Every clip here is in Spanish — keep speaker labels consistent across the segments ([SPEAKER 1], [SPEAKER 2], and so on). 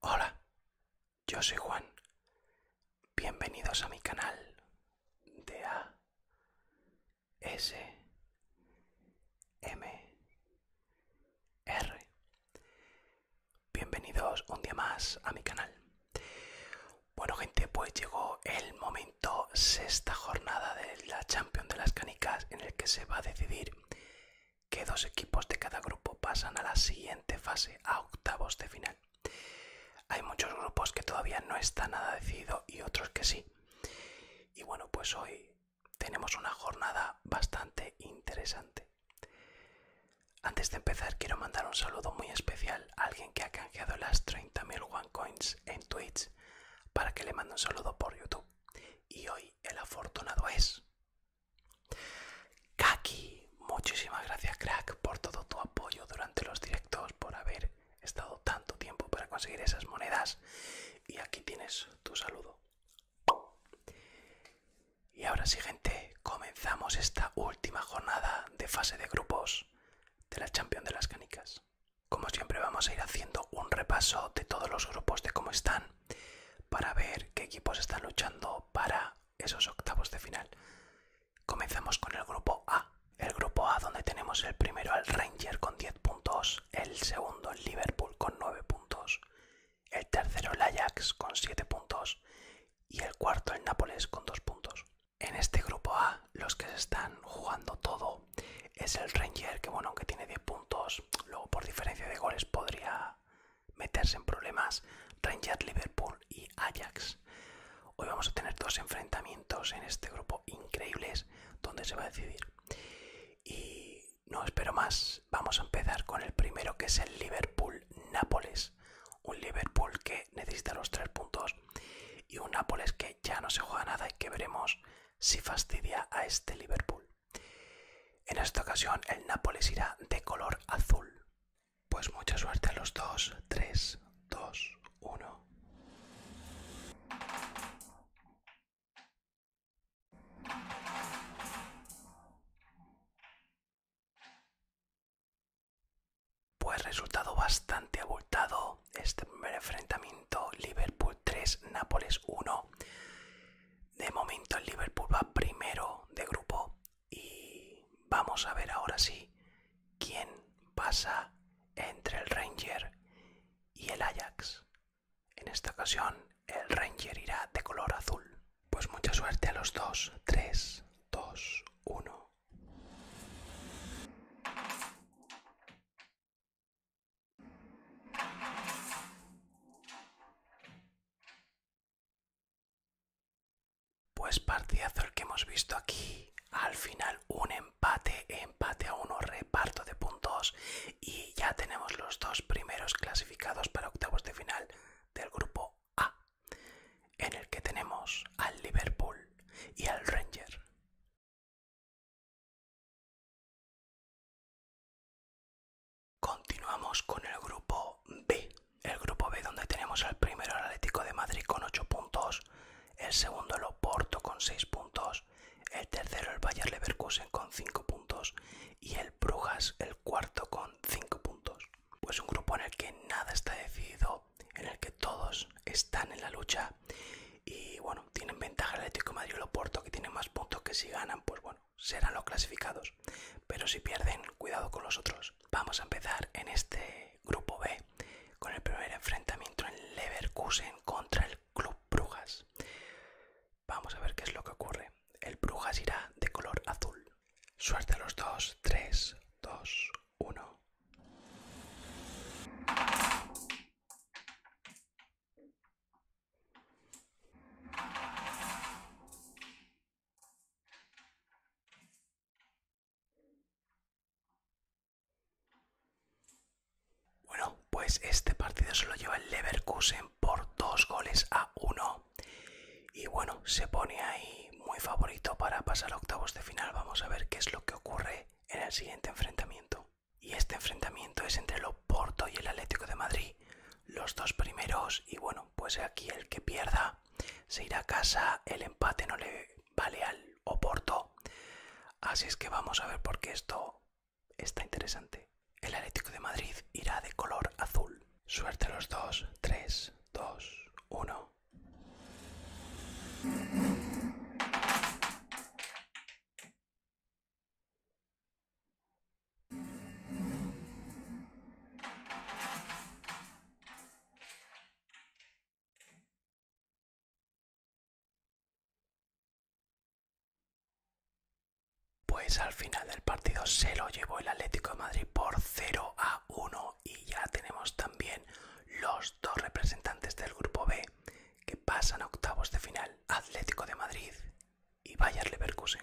[SPEAKER 1] Hola, yo soy Juan. Bienvenidos a mi canal de A S M R. Bienvenidos un día más a mi canal. Bueno gente, pues llegó el momento, sexta jornada de la Champions de las Canicas, en el que se va a decidir qué dos equipos de cada grupo pasan a la siguiente fase, a octavos de final. Hay muchos grupos que todavía no está nada decidido y otros que sí. Y bueno, pues hoy tenemos una jornada bastante interesante. Antes de empezar quiero mandar un saludo muy especial alguien que ha canjeado las 30.000 Coins en Twitch para que le mande un saludo por YouTube. Y hoy el afortunado es. Kaki, muchísimas gracias, crack, por todo tu apoyo durante los directos, por haber estado tanto tiempo para conseguir esas monedas. Y aquí tienes tu saludo. Y ahora sí, gente, comenzamos esta última jornada de fase de grupos de la Champion de las Canicas. Como siempre vamos a ir haciendo un repaso de todos los grupos de cómo están para ver qué equipos están luchando para esos octavos de final. Comenzamos con el grupo A. El grupo A donde tenemos el primero al Ranger con 10 puntos, el segundo el Liverpool con 9 puntos, el tercero el Ajax con 7 puntos y el cuarto el Nápoles con 2 puntos. En este grupo A, los que se están jugando todo es el Ranger, que bueno, aunque tiene 10 puntos, luego por diferencia de goles podría meterse en problemas. Ranger, Liverpool y Ajax. Hoy vamos a tener dos enfrentamientos en este grupo increíbles donde se va a decidir. Y no espero más, vamos a empezar con el primero que es el Liverpool-Nápoles un Liverpool que necesita los tres puntos y un Nápoles que ya no se juega nada y que veremos si fastidia a este Liverpool. En esta ocasión el Nápoles irá de color azul. Pues mucha suerte a los dos, 3, 2, 1. Pues resultado bastante abultado este primer enfrentamiento Liverpool 3, Nápoles 1. De momento el Liverpool va primero de grupo y vamos a ver ahora sí quién pasa entre el Ranger y el Ajax. En esta ocasión el Ranger irá de color azul. Pues mucha suerte a los dos. 3, 2, 1. Pues partidazo el que hemos visto aquí. Al final un empate, empate a uno, reparto de puntos y ya tenemos los dos primeros clasificados para octavos de final del grupo A en el que tenemos al Liverpool y al Ranger. Continuamos con el grupo B, el grupo B donde tenemos al primero el Atlético de Madrid con 8 puntos, el segundo el Oporto con 6 puntos, el tercero el Bayer Leverkusen con 5 puntos y el Brujas el cuarto con 5 puntos. Pues un grupo en el que nada está decidido en el que todos están en la lucha y bueno, tienen ventaja el Atlético Madrid y el Porto que tienen más puntos que si ganan, pues bueno, serán los clasificados. Pero si pierden, cuidado con los otros. Vamos a empezar en este grupo B con el primer enfrentamiento en Leverkusen contra el Club Brujas. Vamos a ver qué es lo que ocurre. El Brujas irá de color azul. Suerte a los dos, 3, dos... 1. Bueno, pues este partido solo lleva el Leverkusen por dos goles a uno. Y bueno, se pone ahí muy favorito para pasar a octavos de final. Vamos a ver qué es lo que ocurre en el siguiente enfrentamiento. Y este enfrentamiento es entre el Oporto y el Atlético de Madrid. Los dos primeros y bueno, pues aquí el que pierda se irá a casa. El empate no le vale al Oporto. Así es que vamos a ver por qué esto está interesante. El Atlético de Madrid irá de color azul. Suerte los dos. 3, 2, 1. Pues al final del partido se lo llevó el Atlético de Madrid por cero a uno y ya tenemos también los dos representantes del grupo B que pasan a octavos de final, Atlético de Madrid y Bayern Leverkusen.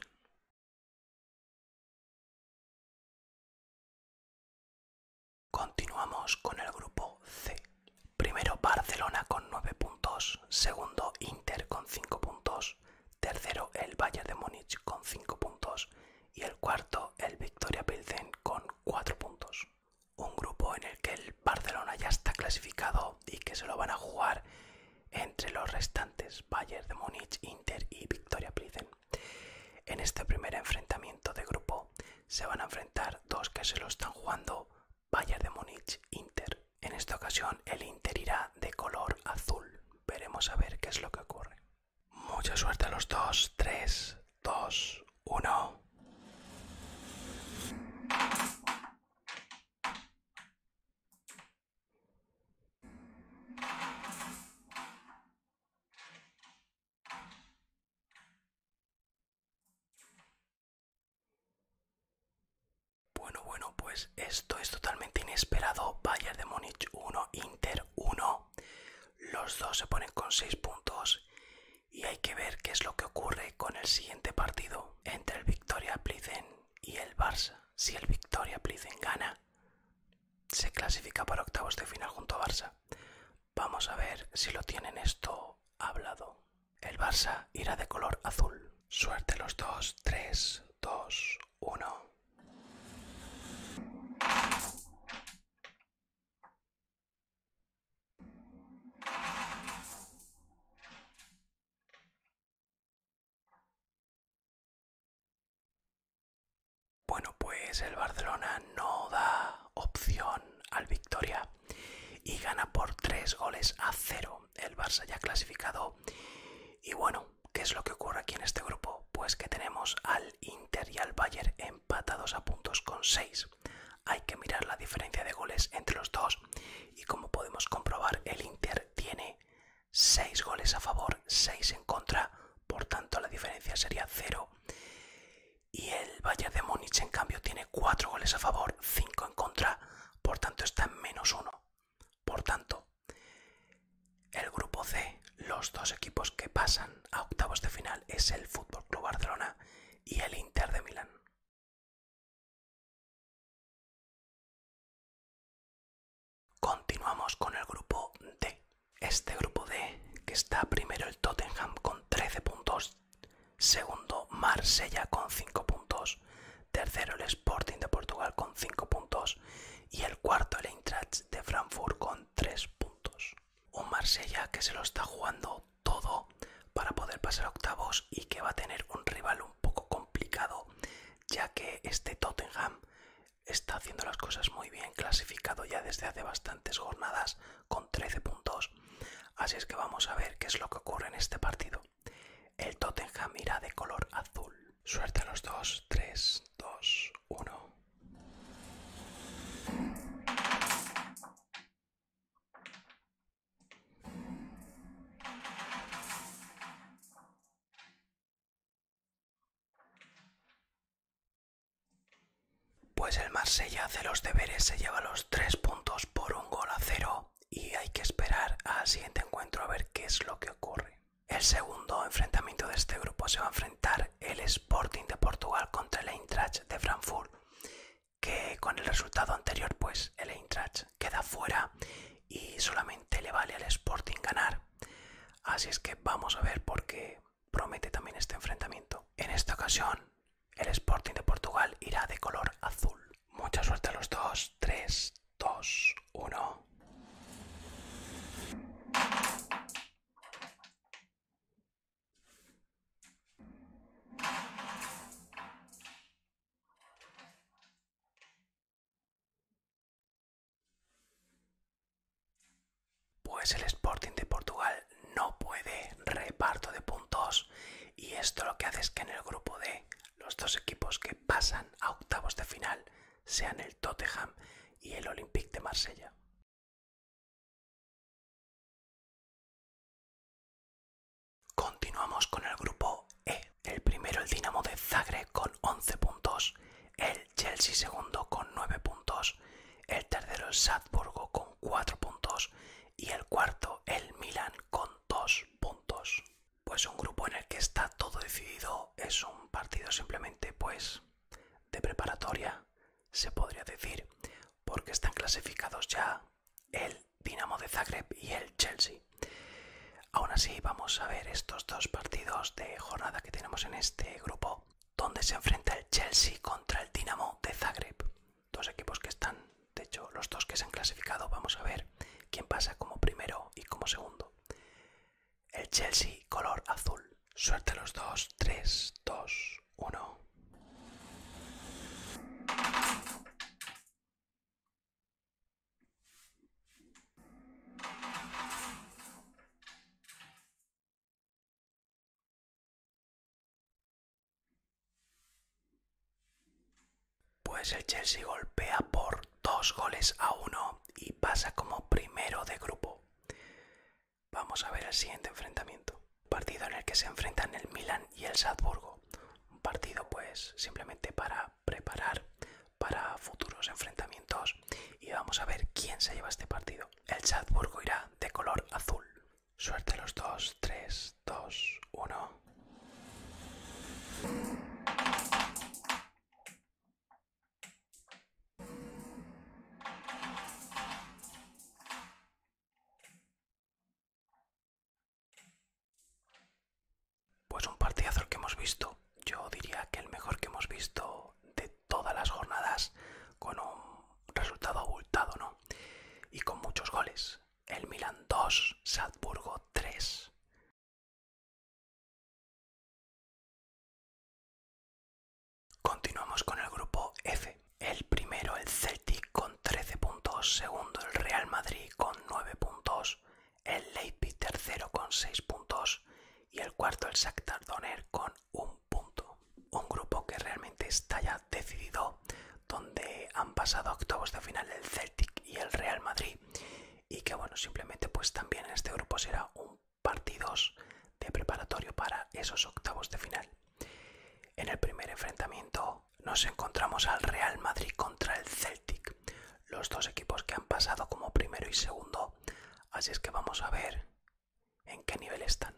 [SPEAKER 1] Continuamos con el grupo C. Primero Barcelona con 9 puntos, segundo Inter con 5 puntos, tercero el Bayern de Múnich con 5 puntos y el cuarto el Victoria Pilsen con Cuatro puntos. Un grupo en el que el Barcelona ya está clasificado y que se lo van a jugar entre los restantes Bayern de Múnich, Inter y Victoria Plizen. En este primer enfrentamiento de grupo se van a enfrentar dos que se lo están jugando Bayern de Múnich, Inter. En esta ocasión el Inter irá de color azul. Veremos a ver qué es lo que ocurre. Mucha suerte a los dos. Tres, dos, uno. Bueno, bueno, pues esto es totalmente inesperado. Bayern de Múnich 1, Inter 1. Los dos se ponen con 6 puntos y hay que ver qué es lo que ocurre con el siguiente partido entre el Victoria Plizen y el Barça. Si el Victoria Plizen gana, se clasifica para octavos de final junto a Barça. Vamos a ver si lo tienen esto hablado. El Barça irá de color azul. Suerte los dos. 3, 2, 1. Bueno, pues el Barcelona no da opción al Victoria y gana por 3 goles a 0. El Barça ya clasificado. Y bueno, ¿qué es lo que ocurre aquí en este grupo? Pues que tenemos al Inter y al Bayern en Patados a puntos con 6. Hay que mirar la diferencia de goles entre los dos y como podemos comprobar el Inter tiene 6 goles a favor, 6 en contra, por tanto la diferencia sería 0. Y el Bayern de Múnich en cambio tiene 4 goles a favor, 5 en contra, por tanto está en menos 1. Por tanto, el grupo C los dos equipos que pasan a octavos de final es el Fútbol Club Barcelona
[SPEAKER 2] y el Inter de Milán.
[SPEAKER 1] Continuamos con el grupo D. Este grupo D que está primero el Tottenham con 13 puntos, segundo Marsella con 5 puntos, tercero el Sporting de Portugal con 5 puntos y el cuarto el Eintracht de Frankfurt con 3 puntos. Un Marsella que se lo está jugando todo para poder pasar octavos y que va a tener un rival un poco complicado, ya que este Tottenham está haciendo las cosas muy bien, clasificado ya desde hace bastantes jornadas con 13 puntos. Así es que vamos a ver qué es lo que ocurre en este partido. El Tottenham irá de color azul. Suerte a los dos, 3, dos uno. Pues el Marsella hace los deberes, se lleva los tres puntos por un gol a cero y hay que esperar al siguiente encuentro a ver qué es lo que ocurre. El segundo enfrentamiento de este grupo se va a enfrentar el Sporting de Portugal contra el Eintracht de Frankfurt, que con el resultado anterior pues el Eintracht queda fuera y solamente le vale al Sporting ganar. Así es que vamos a ver por qué promete también este enfrentamiento. En esta ocasión el Sporting de Portugal irá de color azul. Mucha suerte a los dos. 3, 2, 1. Pues el Sporting de Portugal no puede reparto de puntos y esto lo que hace es que en el grupo D los dos equipos que pasan a octavos de final sean el Tottenham y
[SPEAKER 2] el Olympique de Marsella.
[SPEAKER 1] Continuamos con el grupo E. El primero el Dinamo de Zagreb con 11 puntos, el Chelsea segundo con 9 puntos, el tercero el Salzburgo con 4 puntos y el cuarto el Milan con 2 puntos. Pues un grupo en el que está todo decidido es un partido simplemente pues de preparatoria se podría decir, porque están clasificados ya el Dinamo de Zagreb y el Chelsea. Aún así, vamos a ver estos dos partidos de jornada que tenemos en este grupo, donde se enfrenta el Chelsea contra el Dinamo de Zagreb. Dos equipos que están, de hecho, los dos que se han clasificado, vamos a ver quién pasa como primero y como segundo. El Chelsea color azul. Suerte a los dos, 3, 2, uno. Pues el Chelsea golpea por dos goles a uno y pasa como primero de grupo. Vamos a ver el siguiente enfrentamiento. Partido en el que se enfrentan el Milan y el Salzburgo. Un partido pues simplemente para preparar para futuros enfrentamientos y vamos a ver quién se lleva este partido. El Salzburgo irá de color azul. Suerte los dos, 3, 2, 1. Pues un partidazo que hemos visto, yo diría que el mejor que hemos visto de todas las jornadas, con un resultado abultado, ¿no? Y con muchos goles. El Milan 2, Salzburgo
[SPEAKER 2] 3. Continuamos con el grupo F.
[SPEAKER 1] El primero, el Celtic con 13 puntos. Segundo, el Real Madrid con 9 puntos. El Leipzig tercero con 6 puntos. Y el cuarto, el Shakhtar con 1 punto. Un grupo que realmente está ya decidido, donde han pasado octavos de final el Celtic y el Real Madrid. Y que bueno, simplemente pues también en este grupo será un partidos de preparatorio para esos octavos de final. En el primer enfrentamiento nos encontramos al Real Madrid contra el Celtic, los dos equipos que han pasado como primero y segundo, así es que vamos a ver en qué nivel están.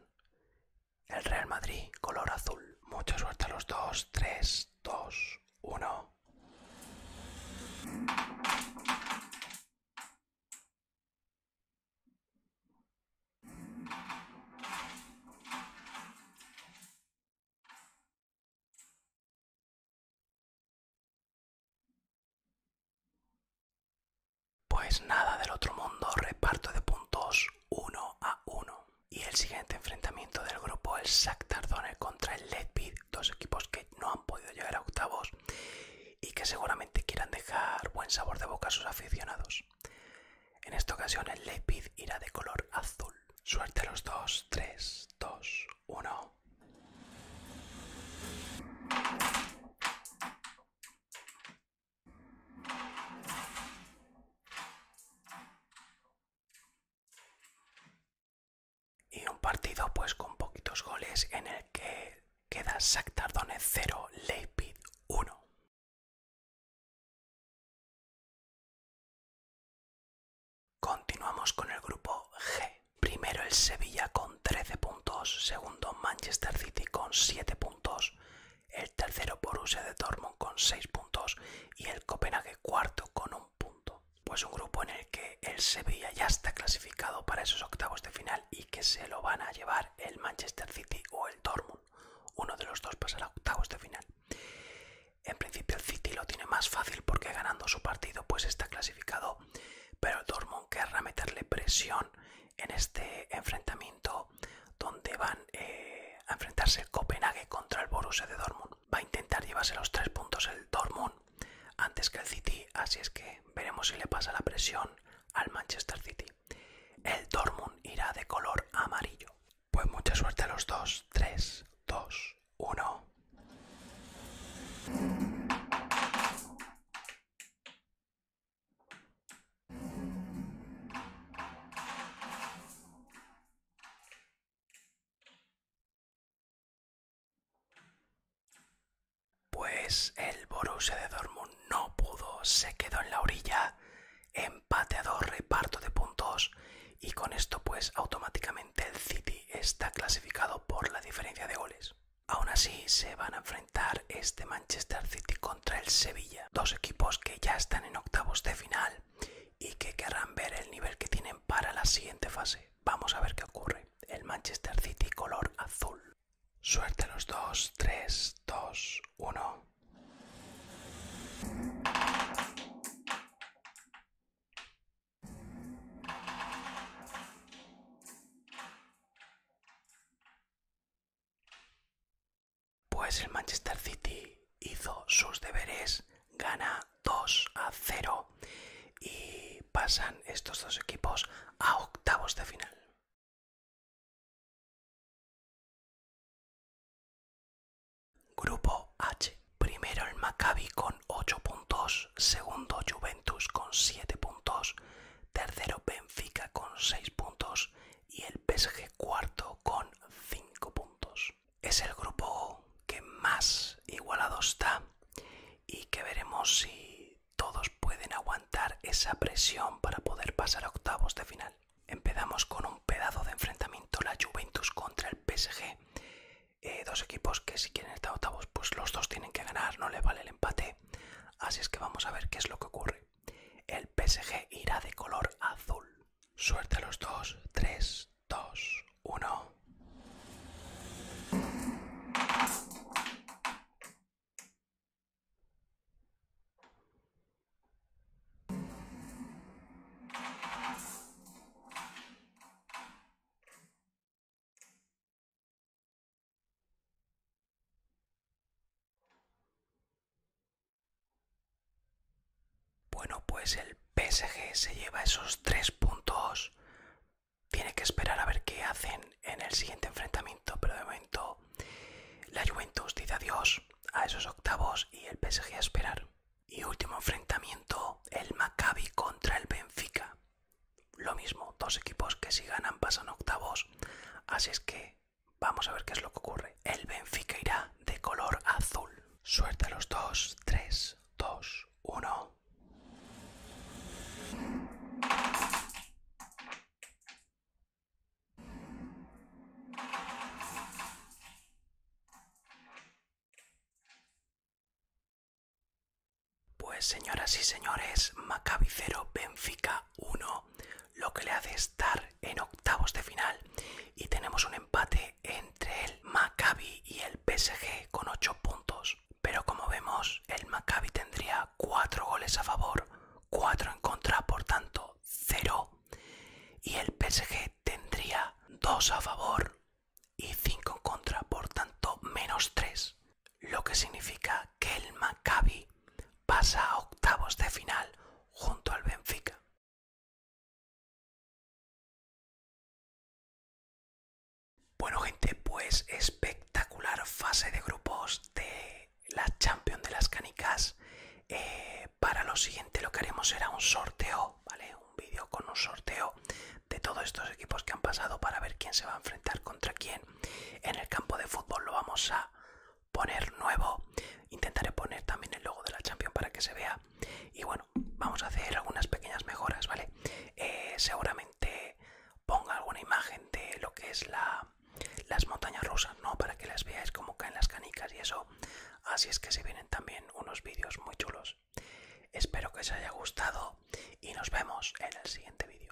[SPEAKER 1] El Real Madrid, color azul. Mucha suerte a los dos, 3, 2, 1. Pues nada del otro mundo, reparto de puntos uno a uno. Y el siguiente enfrentamiento del grupo, el Sac Tardone contra el Ledbeat, dos equipos que no han podido llegar a octavos y que seguramente quieran dejar buen sabor de boca a sus aficionados. En esta ocasión el Leipzig irá de color azul. Suerte a los dos, 3, 2, 1. Y un partido pues con poquitos goles en el que queda Shakhtar 0,
[SPEAKER 2] Leipzig 1.
[SPEAKER 1] Continuamos con el grupo G. Primero el Sevilla con 13 puntos, segundo Manchester City con 7 puntos, el tercero Borussia de Dortmund con 6 puntos y el Copenhague cuarto con un punto. Pues un grupo en el que el Sevilla ya está clasificado para esos octavos de final y que se lo van a llevar el Manchester City o el Dortmund. Uno de los dos pasará a octavos de final. En principio el City lo tiene más fácil porque ganando su partido pues está clasificado, pero el Dortmund querrá meterle presión en este enfrentamiento donde van eh, a enfrentarse Copenhague contra el Borussia de Dortmund. Va a intentar llevarse los tres puntos el Dortmund antes que el City, así es que veremos si le pasa la presión al Manchester City. El dormón irá de color amarillo. Pues mucha suerte a los dos. 3, 2, 1. Pues el Borussia de Dortmund no pudo, se quedó en la orilla, empate a dos, reparto de puntos y con esto pues automáticamente el City está clasificado por la diferencia de goles. Aún así se van a enfrentar este Manchester City contra el Sevilla, dos equipos que ya están en octavos de final y que querrán ver el nivel que tienen para la siguiente fase. Vamos a ver qué ocurre. El Manchester City color azul. Suerte los dos, tres, dos, uno. Pues el Manchester City hizo sus deberes, gana 2 a 0 y pasan estos dos equipos a octavos de final. Grupo H. Primero el Maccabi con 8 puntos, segundo Juventus con 7 puntos, tercero Benfica con 6 puntos y el PSG cuarto con 5 puntos. Es el grupo que más igualado está y que veremos si todos pueden aguantar esa presión para poder pasar a octavos de final. Empezamos con un pedazo de enfrentamiento, la Juventus contra el PSG. Eh, dos equipos que si quieren estar octavos, pues los dos tienen que ganar, no le vale el empate. Así es que vamos a ver qué es lo que ocurre. El PSG irá de color azul. Suerte a los dos. 3, 2, 1. Bueno, pues el PSG se lleva esos tres puntos. Tiene que esperar a ver qué hacen en el siguiente enfrentamiento pero de momento la Juventus dice adiós a esos octavos y el PSG a esperar. Y último enfrentamiento, el Maccabi contra el Benfica. Lo mismo, dos equipos que si ganan pasan octavos, así es que vamos a ver qué es lo que ocurre. El Benfica irá de color azul. Suelta los dos, tres, dos, uno... Pues señoras y señores, Maccabi 0, Benfica 1, lo que le hace estar en octavos de final y tenemos un empate entre el Maccabi y el PSG con 8 puntos. Pero como vemos, el Maccabi tendría 4 goles a favor, 4 en contra, por tanto 0. Y el PSG tendría 2 a favor y 5 en contra, por tanto menos 3. Lo que significa que el Maccabi pasa a octavos de final junto al Benfica. Bueno gente, pues espectacular fase de grupos de la champion de las canicas eh, para lo siguiente lo que haremos será un sorteo vale un vídeo con un sorteo de todos estos equipos que han pasado para ver quién se va a enfrentar contra quién en el campo de fútbol lo vamos a poner nuevo intentaré poner también el logo de la champion para que se vea y bueno vamos a hacer algunas pequeñas mejoras vale eh, seguramente ponga alguna imagen de lo que es la las montañas rusas, ¿no? Para que las veáis como caen las canicas y eso. Así es que se vienen también unos vídeos muy chulos. Espero que os haya gustado y nos vemos en el siguiente vídeo.